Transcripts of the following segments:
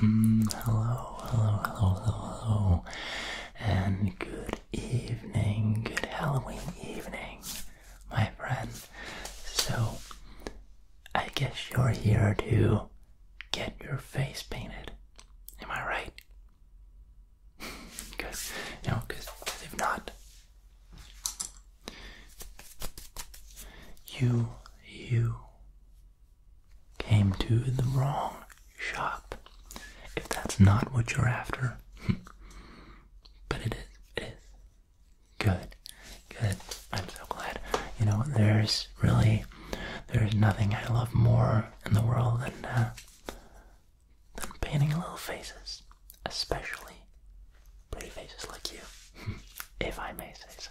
Mm, hello, hello, hello, hello, hello, and good evening, good Halloween evening, my friend. So, I guess you're here to get your face painted. Am I right? Because, no, because if not, you, you, came to the wrong shop. If that's not what you're after, but it is, Good, good. I'm so glad. You know, there's really, there's nothing I love more in the world than, uh, than painting little faces, especially pretty faces like you, if I may say so.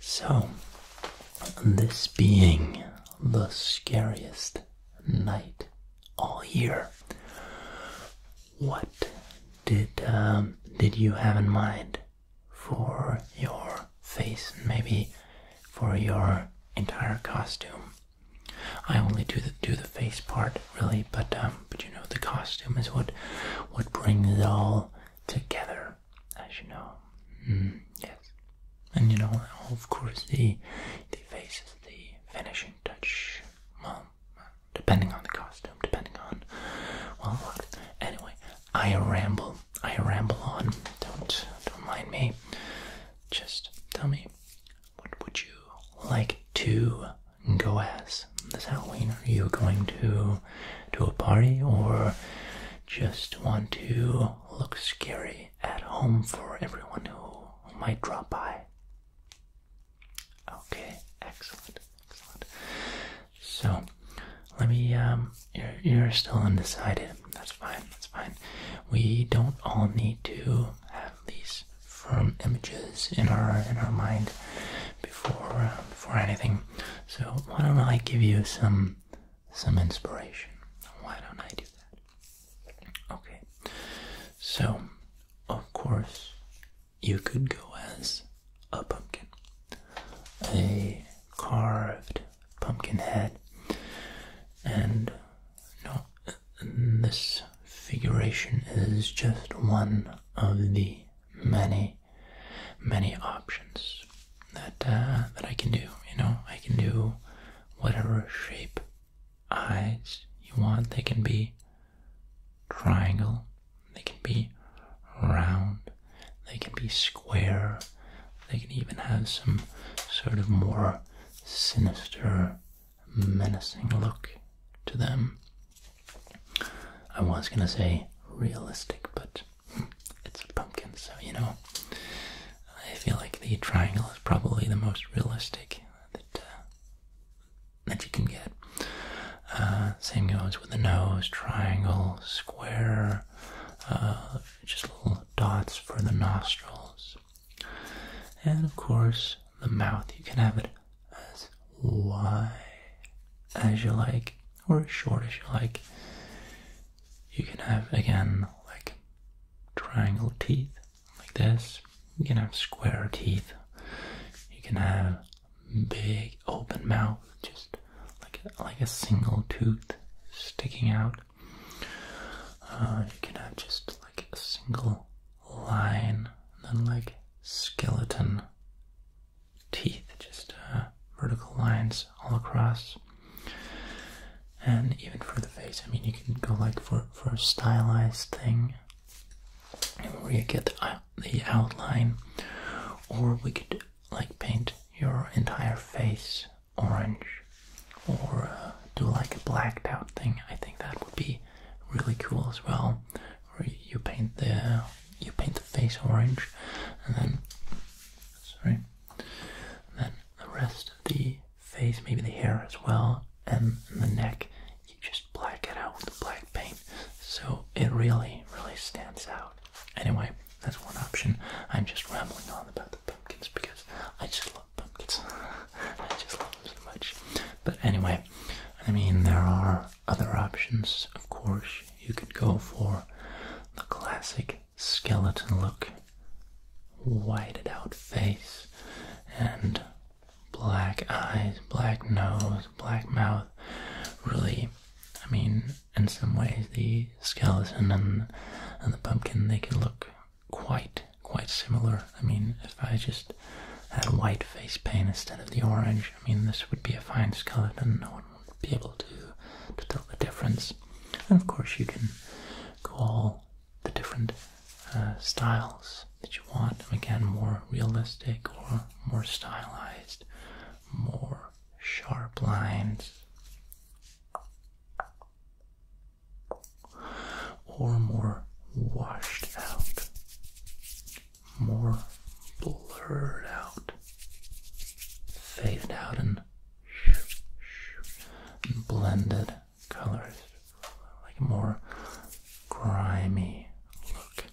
So, this being the scariest night all year, what did um, did you have in mind for your face and maybe for your entire costume? I only do the do the face part really, but um, but you know the costume is what what brings it all together as you know. Mm. yes. And you know, of course, the the face is the finishing touch. Well, depending on the costume, depending on well, Anyway, I ramble. I ramble on. Don't don't mind me. Just tell me, what would you like to go as this Halloween? Are you going to to a party or just want to look scary at home for everyone who might drop by. Okay, excellent, excellent. So, let me, um, you're, still undecided. That's fine, that's fine. We don't all need to have these firm images in our in our mind before uh, before anything. So why don't I give you some some inspiration? Why don't I do that? Okay. So, of course, you could go as a pumpkin. A carved pumpkin head. And no this figuration is just one of the many many, options that uh, that I can do. You know, I can do whatever shape eyes you want. They can be triangle. They can be round. They can be square. They can even have some sort of more sinister, menacing look to them. I was gonna say realistic, but it's a pumpkin, so you know. I feel like the triangle is probably the most realistic that uh, that you can get. Uh, same goes with the nose, triangle, square, uh, just little dots for the nostrils, and of course the mouth. You can have it as wide as you like or as short as you like. You can have again like triangle teeth like this. You can have square teeth. You can have big open mouth, just like a, like a single tooth sticking out. Uh, you can have just like a single line, and then like skeleton teeth, just uh, vertical lines all across. And even for the face, I mean, you can go like for, for a stylized thing where you get the, the outline, or we could like paint your entire face orange or uh, do like a blacked out thing. I think that would be really cool as well. Where you paint the you paint the face orange, and then sorry, then the rest of the face, maybe the hair as well, and the neck. You just black it out with the black paint, so it really, really stands out. Anyway, that's one option. I'm just rambling on about the pumpkins because I just love pumpkins. I just love them so much. But anyway, I mean, there are other options, of course. You could go for the classic skeleton look, whited out face, and black eyes, black nose, black mouth. Really, I mean, in some ways, the skeleton and, and the pumpkin they can look quite quite similar. I mean, if I just had white face paint instead of the orange, I mean, this would be a fine skeleton. No one would be able to, to tell the difference. And of course, you can go all the different uh, styles that you want. Again, more realistic or more stylized, more sharp lines, or more washed out more blurred out, faded out, and, blended colors, like more grimy look.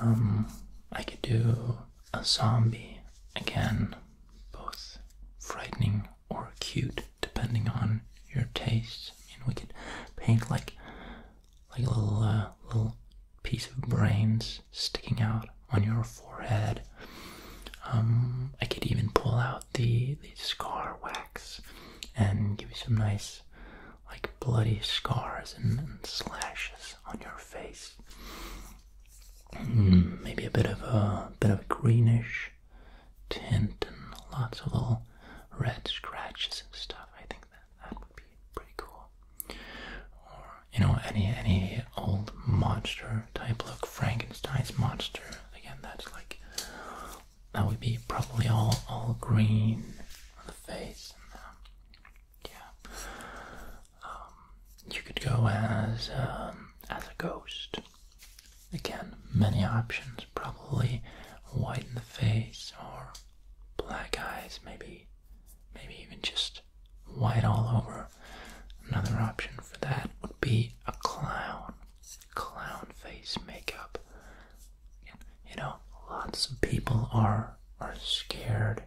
Um, I could do a zombie again, both frightening or cute, depending on your taste. And we could paint like like a little, uh, little piece of brains sticking out on your forehead. Um, I could even pull out the, the scar wax and give you some nice, like, bloody scars and, slashes on your face. Hmm, maybe a bit of a bit of greenish tint and lots of little red scratches and stuff. I think that that would be pretty cool. Or you know, any any old monster type look, Frankenstein's monster. Again, that's like that would be probably all all green on the face. And, uh, yeah, um, you could go as um, as a ghost. Again, many options. Probably white in the face or black eyes, maybe, maybe even just white all over. Another option for that would be a clown, clown face makeup. You know, lots of people are are scared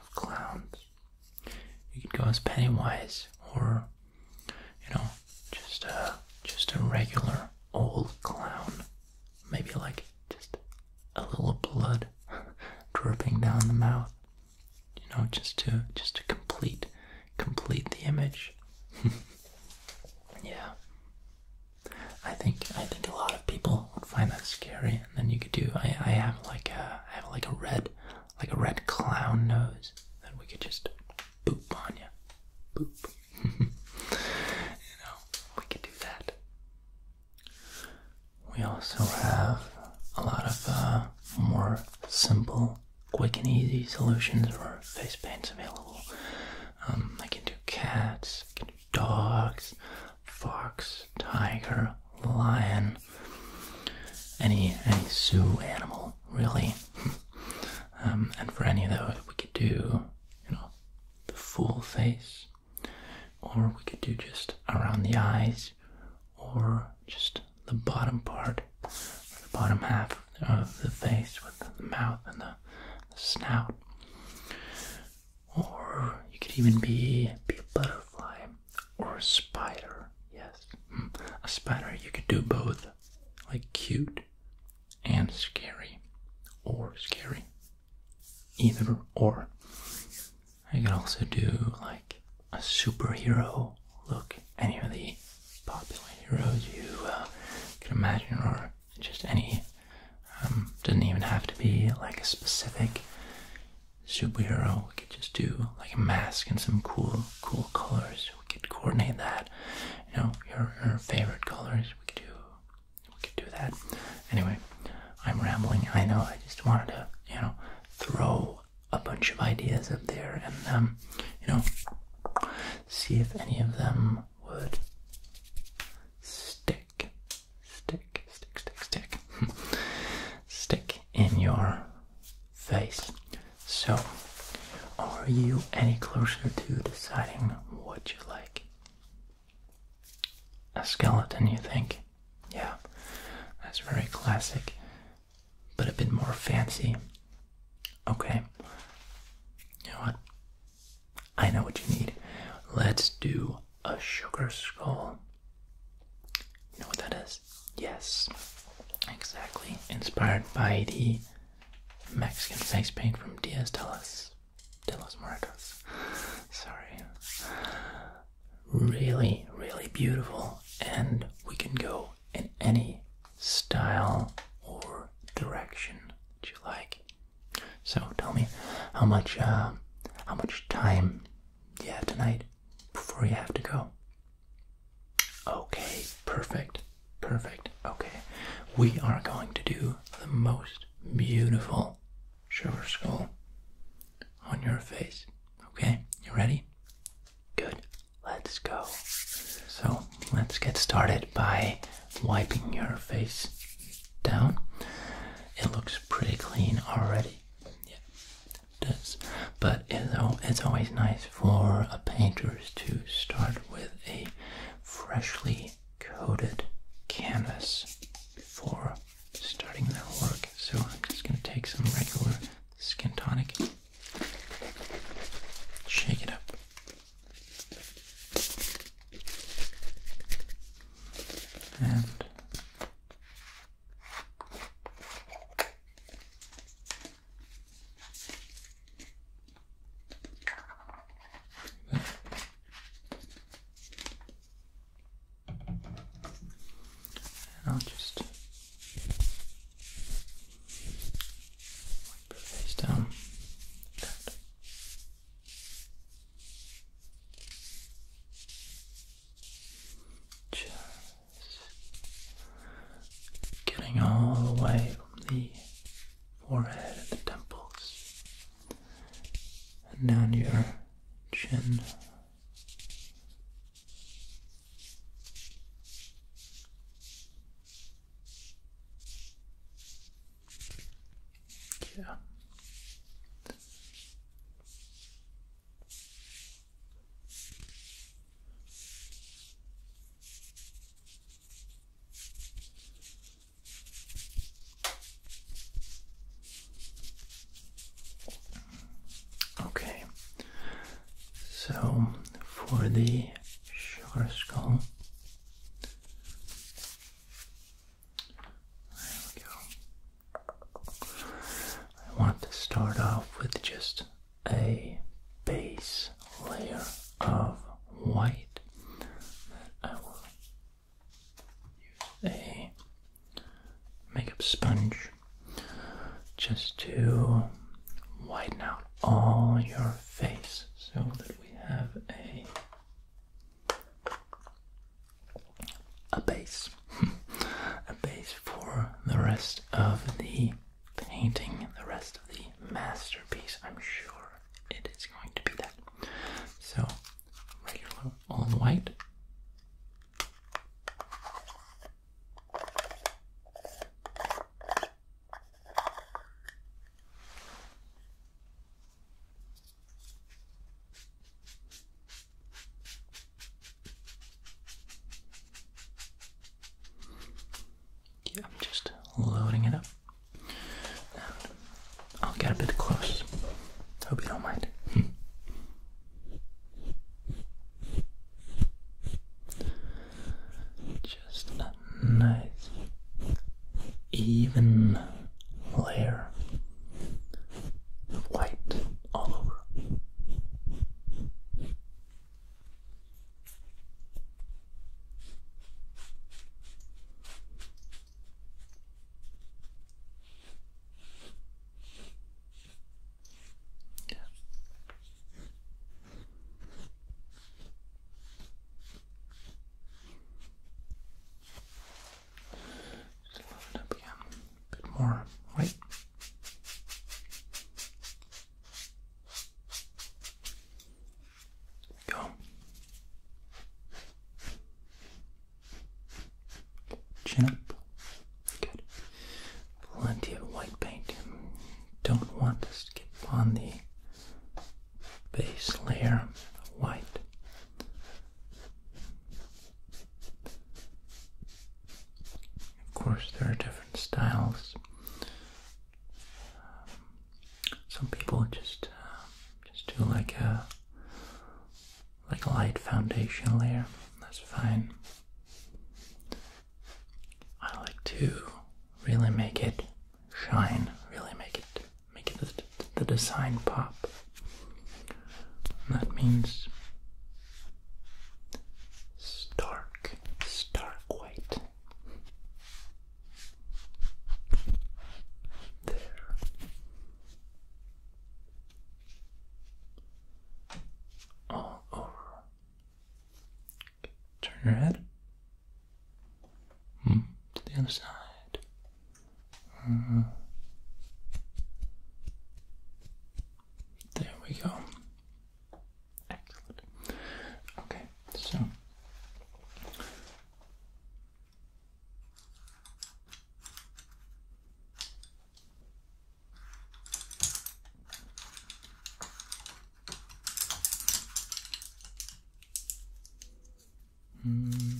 of clowns. You could go as Pennywise, or you know, just a just a regular old clown maybe like just a little blood dripping down the mouth you know just to just to complete complete the image yeah i think i think a lot of people would find that scary and then you could do i i have like a i have like a red like a red clown nose that we could just boop on you boop you know, we could do that. We also have a lot of uh, more simple, quick and easy solutions for face paints available. Um, I can do cats, I can do dogs, fox, tiger, lion, any any zoo animal really. Um, and for any of those, we could do you know the full face, or we could do just around the eyes, or just the bottom part, the bottom half of the face with the mouth and the, snout. Or you could even be, be a butterfly or a spider. Yes, hmm, a spider. You could do both, like cute and scary or scary. Either or. I could also do like a superhero look. Any of the popular heroes you uh, can imagine, or just any. Um, doesn't even have to be like a specific superhero. We could just do like a mask and some cool, cool colors. We could coordinate that. You know, your favorite colors. We could do we could do that. Anyway, I'm rambling. I know. I just wanted to, you know, throw a bunch of ideas up there and, um, you know, see if any of them would stick, stick, stick, stick, stick, stick in your face. So, are you any closer to deciding what you like? A skeleton, you think? Yeah, that's very classic, but a bit more fancy. Okay, you know what? I know what you need. Let's do a sugar skull. You know what that is? Yes, exactly. Inspired by the Mexican face paint from Diaz los de los Muertos. Sorry. Really, really beautiful, and we can go in any style or direction that you like. So tell me, how much, uh, how much time you have tonight before you have to go? Okay, perfect. Perfect. Okay. We are going to do the most beautiful sugar skull on your face. Okay? You ready? Good. Let's go. So, let's get started by wiping your face down. It looks pretty clean already. Yeah, it does. But it's always nice for a painter to start with a freshly coated canvas before starting their work. So I'm just going to take some regular skin tonic, shake it up. And I'll just wipe your face down. Just getting all the way from the forehead and the temples, and down your chin. Yeah. Okay, so for the sugar skull, I want to start off with just a base layer of white I will use a makeup sponge just to widen out all your face so that we have a a base a base for the rest of the painting the rest of the masterpiece I'm sure it is going to be that. So, regular all in white. Yeah, I'm just loading it up. I'll get a bit close. Hope you don't mind. Just a nice, even layer of white all over. Yeah. Just it up again. A bit more white. Go. Chin up. Good. Plenty of white paint. Don't want to skip on the base layer of white. Of course, there are different styles um, some people just uh, just do like a like a light foundation layer. That's fine. I like to really make it shine. Really make it make the, the design pop. that means stark, stark white. There. All over. turn your head. Hmm, to the other side. Uh, there we go. Excellent. Okay, so hmm.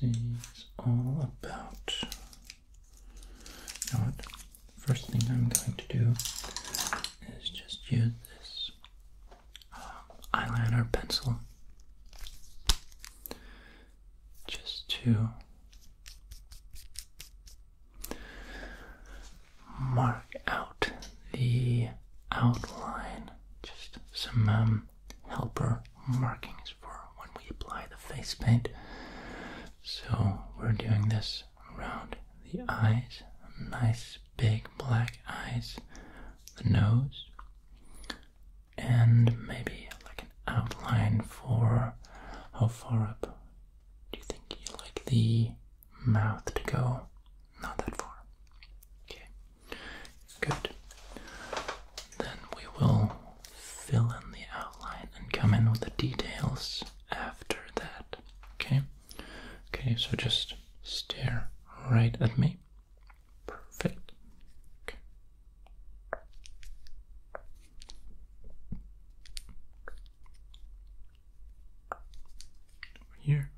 See, it's all about. You first thing I'm going to do is just use this um, eyeliner pencil just to mark out the outline, just some um, helper markings for when we apply the face paint. So we're doing this around the eyes, nice big black eyes, the nose, and maybe like an outline for how far up do you think you like the mouth to go? Not that far. Okay, good. Then we will fill in the outline and come in with the details after that. Okay? Okay, so just stare right at me. Perfect. here.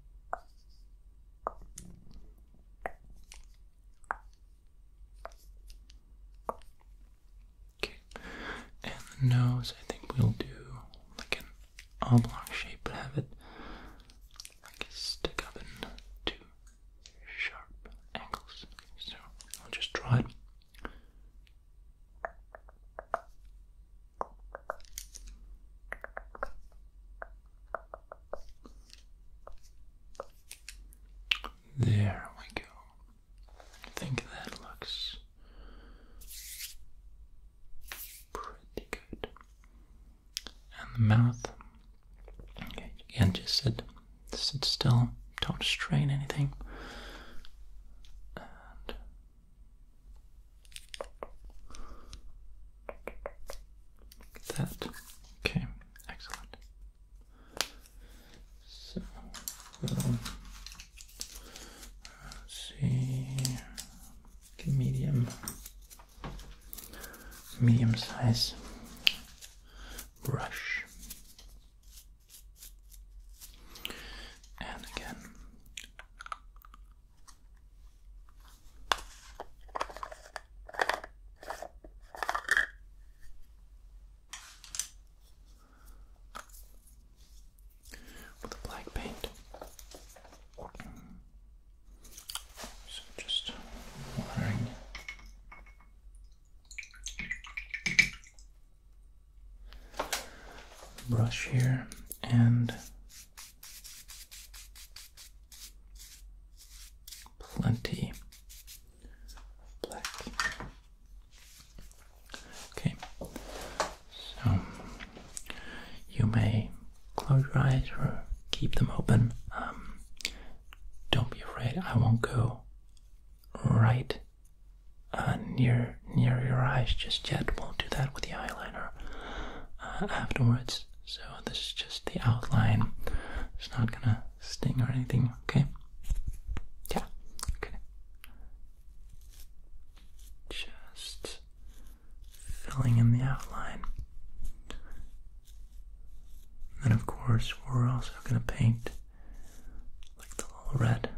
Okay, and the nose, I think we'll do like an oblong shape, but have it like stick up in two sharp angles. so I'll just draw it. There we go. I think that looks pretty good. And the mouth. Okay, again, just sit, sit still. Don't strain anything. that. Okay, excellent. So Let's see, okay, medium, medium size brush, and again with black paint. So just watering. Brush here and plenty black. Okay, so you may close your eyes or keep them open. Um, don't be afraid, I won't go right uh, near near your eyes just yet. we will do that with the eyeliner uh, afterwards. So this is just the outline. It's not gonna sting or anything. Okay. Yeah. Okay. Just filling in the outline. And of course, we're also going to paint like the little red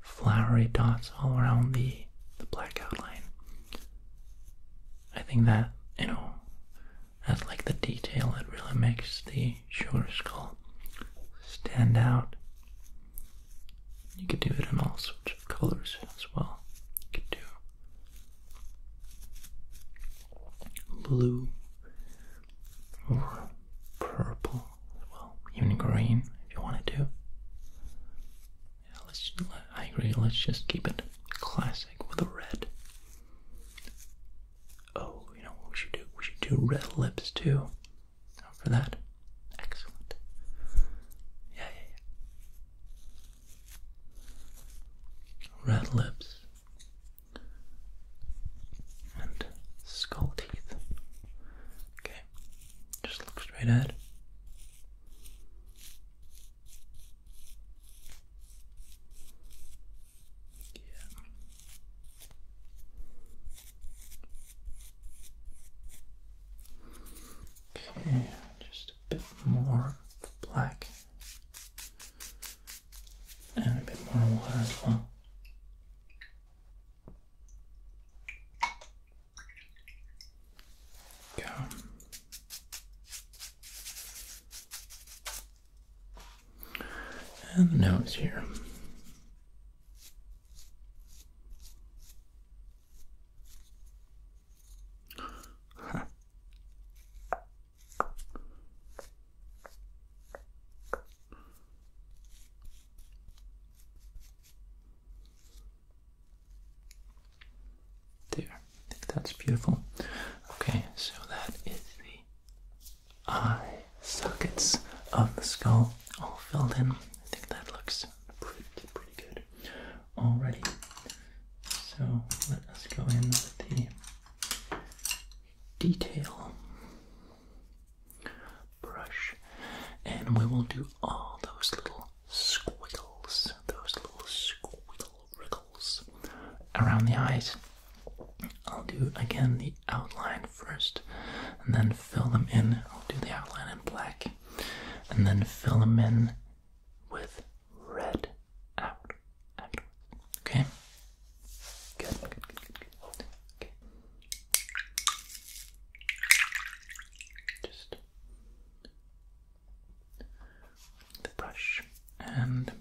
flowery dots all around the, the black outline. I think that, you know, that's like the detail, that really makes the sugar skull stand out you could do it in all sorts of colors as well. You could do blue or purple as well, even green if you wanted to Yeah, let's. I agree. Let's just keep it classic with a red. Oh, you know what we should do? We should do red lips too for that. Excellent. Yeah, yeah, yeah. Red lips and skull teeth. Okay, just look straight ahead. Yeah. Okay, just a bit more black and a bit more water as well. Go. And the nose here there, that's beautiful. Okay, so that is the eye sockets of the skull all filled in. I think that looks pretty, pretty good already. So let us go in with the detail brush and we will do all those little squiggles, those little squiggle wriggles around the eyes. I'll do again the outline first and then fill them in. I'll do the outline in black and then fill them in with red out. Okay? Good, Just the brush and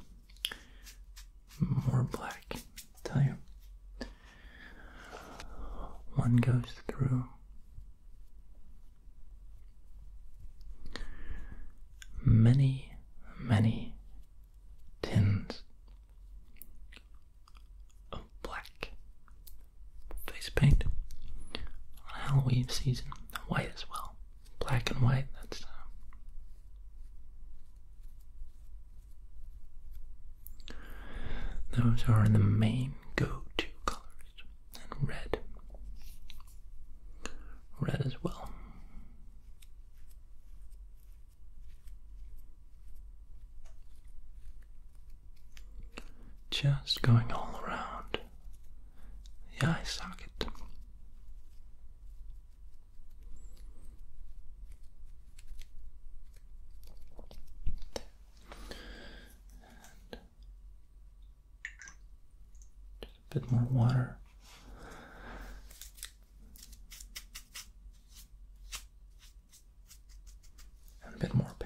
more black. tell you, one goes through many, many tins of black face paint on Halloween season. White as well, black and white. That's uh, those are the main go-to colors. And red. Red as well. Just going all around the eye socket just a bit more water. And a bit more paint.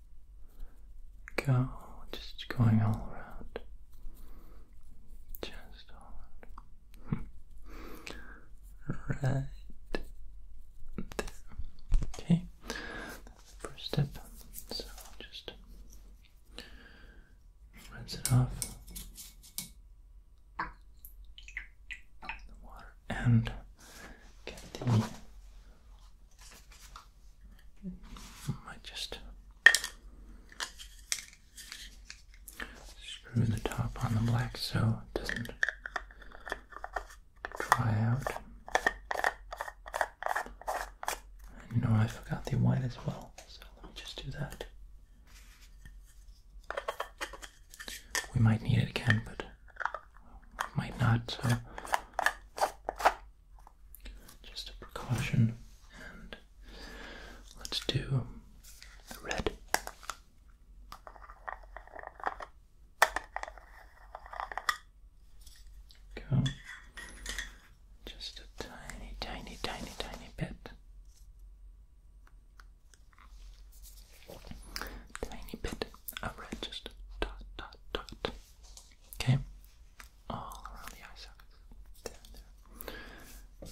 Go, just going all around. Just all there. Okay, that's the first step. So just rinse it off the water and get the I just screw the top on the black so it doesn't dry out. You know, I forgot the white as well, so let me just do that. We might need it again, but might not, just a precaution, and let's do the red. Go just a tiny, tiny, tiny, tiny bit. Tiny bit of red, just dot, dot, dot. Okay, all around the eye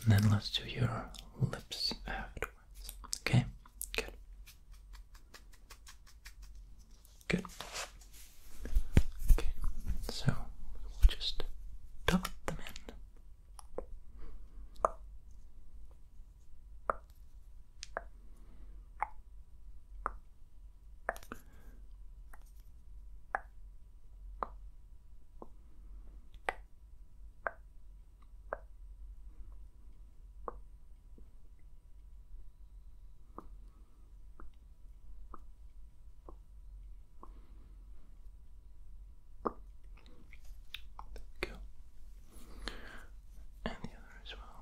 then let's do your lips afterwards. Okay, good. Good. Okay, so we'll just tuck them in. There we go. And the other as well.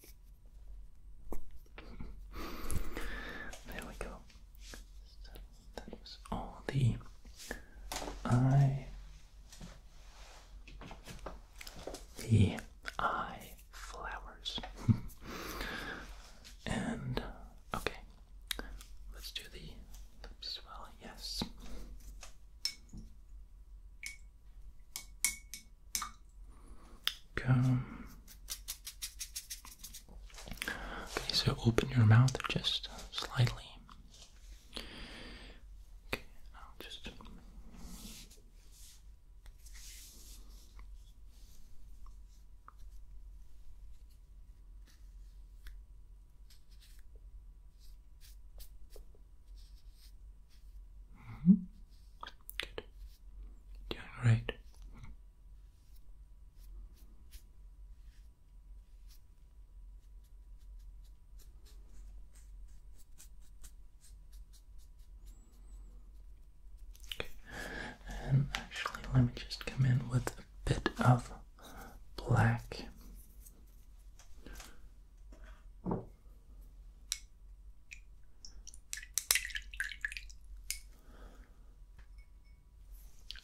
There we go. that was all the eye, flowers. and okay, let's do the lips as well. Yes. Come. Okay, so open your mouth just slightly. Okay, I'll just. -hmm. Good. Doing great. Okay. And um, actually, let me just come in with a bit of black.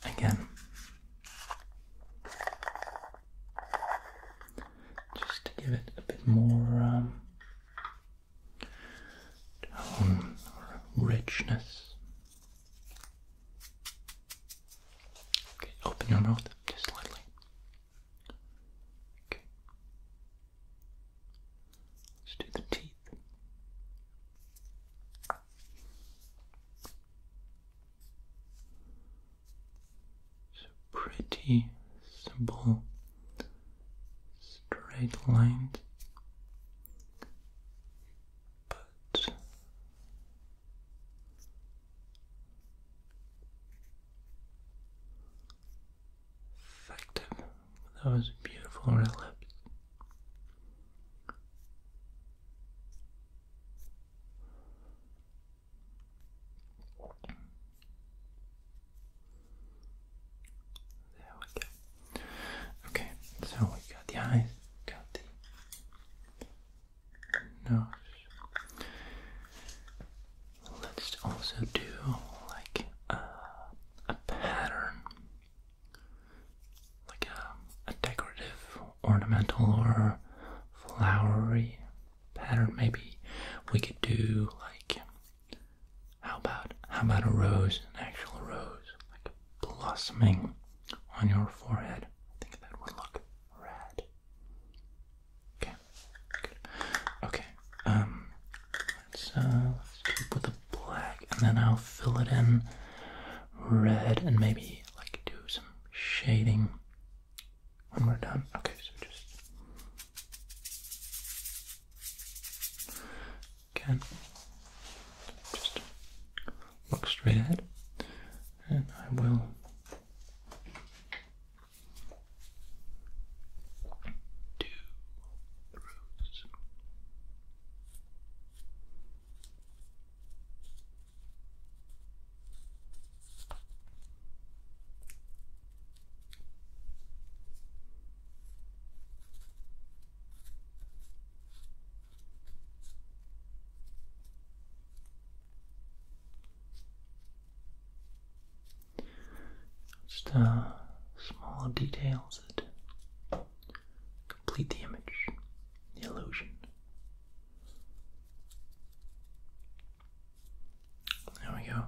Again, just to give it a bit more um, tone or richness. Okay, open your mouth just slightly. Okay. Let's do the teeth. So pretty simple straight lines, but effective. That was beautiful red lips. There we go. Okay, so we got the eyes, got the nose. Let's also do like a, a pattern, like a, a decorative, ornamental, or flowery pattern. Maybe we could do like how about how about a rose, an actual rose, like blossoming on your forehead. I think that would look rad. Okay. Good. Okay. Um. let uh, Let's keep with the black, and then I'll fill it in red, and maybe like do some shading when we're done. Okay. So just again, just look straight ahead, and I will to the roots. Just uh, small details that complete the image, the illusion. There we go.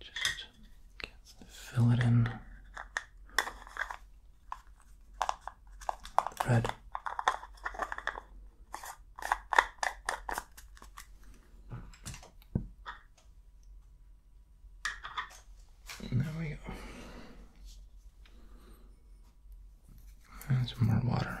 Just fill it in Red. There we go. And some more water.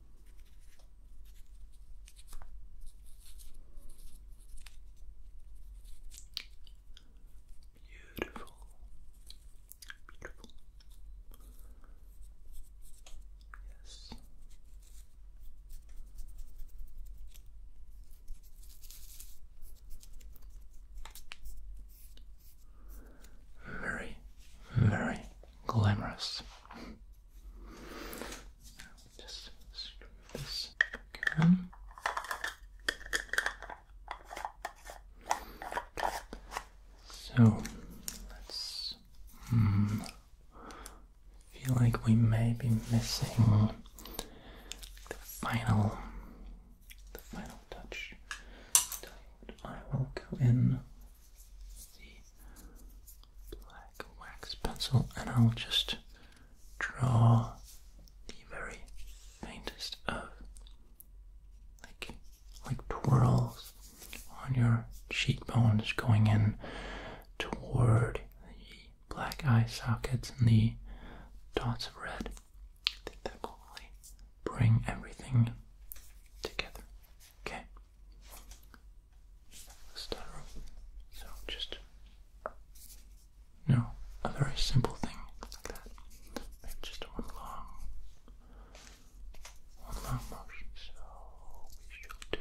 Beautiful, beautiful. Yes. Very, very glamorous. Just screw this again. So let's hmm, feel like we may be missing the final the final touch. I will go in black wax pencil and I'll just draw the very faintest of like like twirls on your cheekbones going in toward the black eye sockets and the dots of red. I that will bring everything together. Okay sterile. So just you a very simple thing like that. just one long one long motion. So we shall do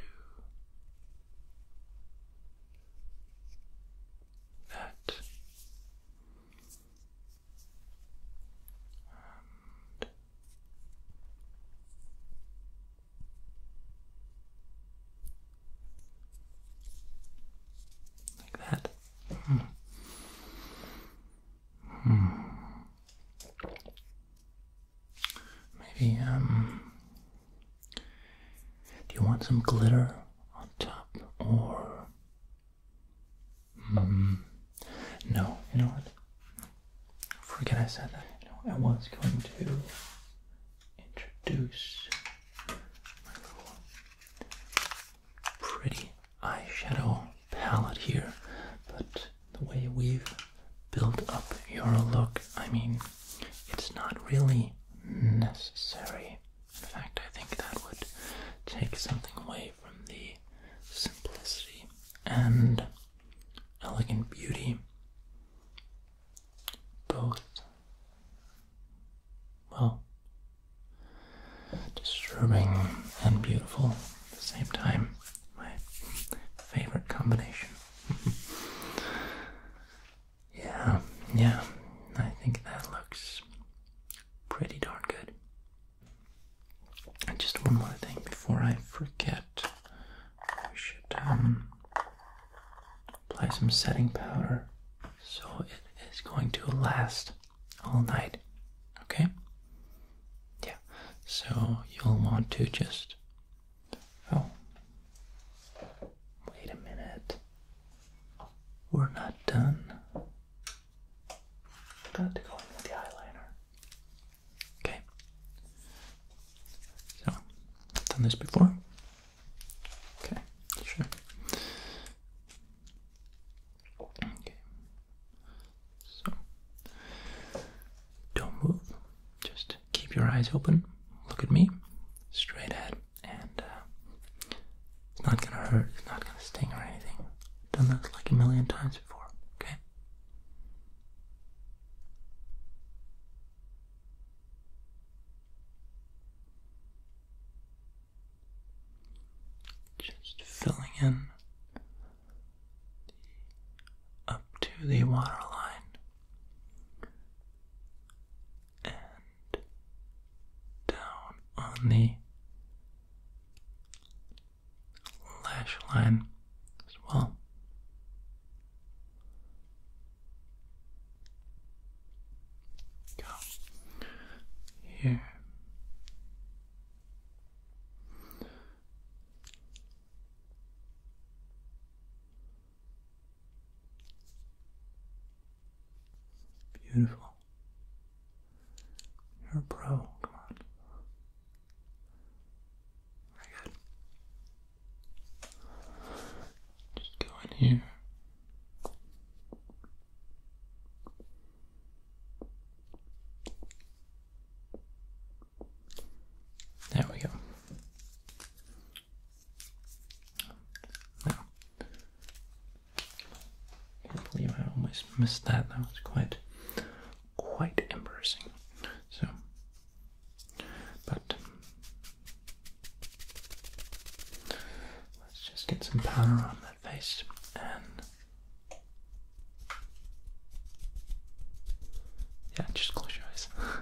that. Um, like that. Hmm. Hmm. Maybe, um, do you want some glitter on top or Mm. No, you know what? Forget I said that. I was going to introduce my little pretty eyeshadow palette here, but the way we've built up your look, I mean, it's not really necessary. In fact, I think that would take something away from the simplicity and elegant beauty, both, well, disturbing and beautiful at the same time. My favorite combination. yeah, yeah, I think that looks pretty darn good just one more thing before I forget. We should um, apply some setting powder so it is going to last all night. Okay? Yeah. So you'll want to just. Oh. Wait a minute. We're not done. Got to go in with the eyeliner. Okay. So, I've done this before? Okay, sure. Okay. So, don't move. Just keep your eyes open. Look at me. Straight ahead. And uh, it's not gonna hurt. It's not gonna sting or anything. done that like a million times before. Okay? Just filling in up to the water line and down on the lash line as well. Go here. Beautiful. You're a pro. Come on. Very good. Just go in here. There we go. Now, can't believe I almost missed that. That was quite quite embarrassing. So, but let's just get some powder on that face and. Yeah, just close your eyes.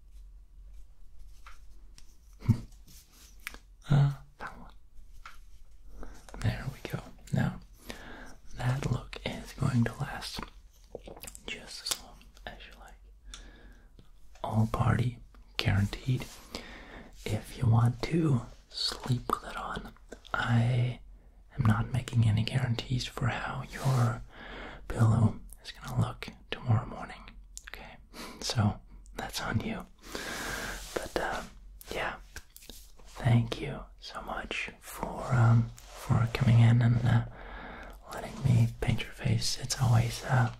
ah, that one. There we go. Now, that look is going to last just as long as you like. All party guaranteed. If you want to sleep with it on, I am not making any guarantees for how your pillow is going to look tomorrow morning. Okay, so that's on you. But uh, yeah, thank you so much for um, for coming in and uh, letting me paint your face. It's always uh,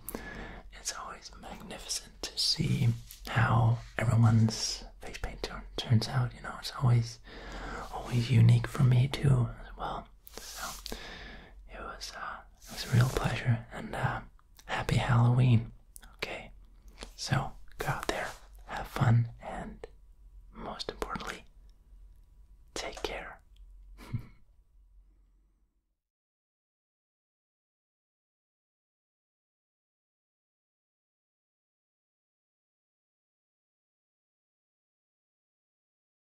it's always magnificent to see how everyone's face paint turns out. You know, it's always always unique for me too as well. So it was uh, it was a real pleasure and uh, happy Halloween. Okay, so go out there, have fun, and most importantly, take care.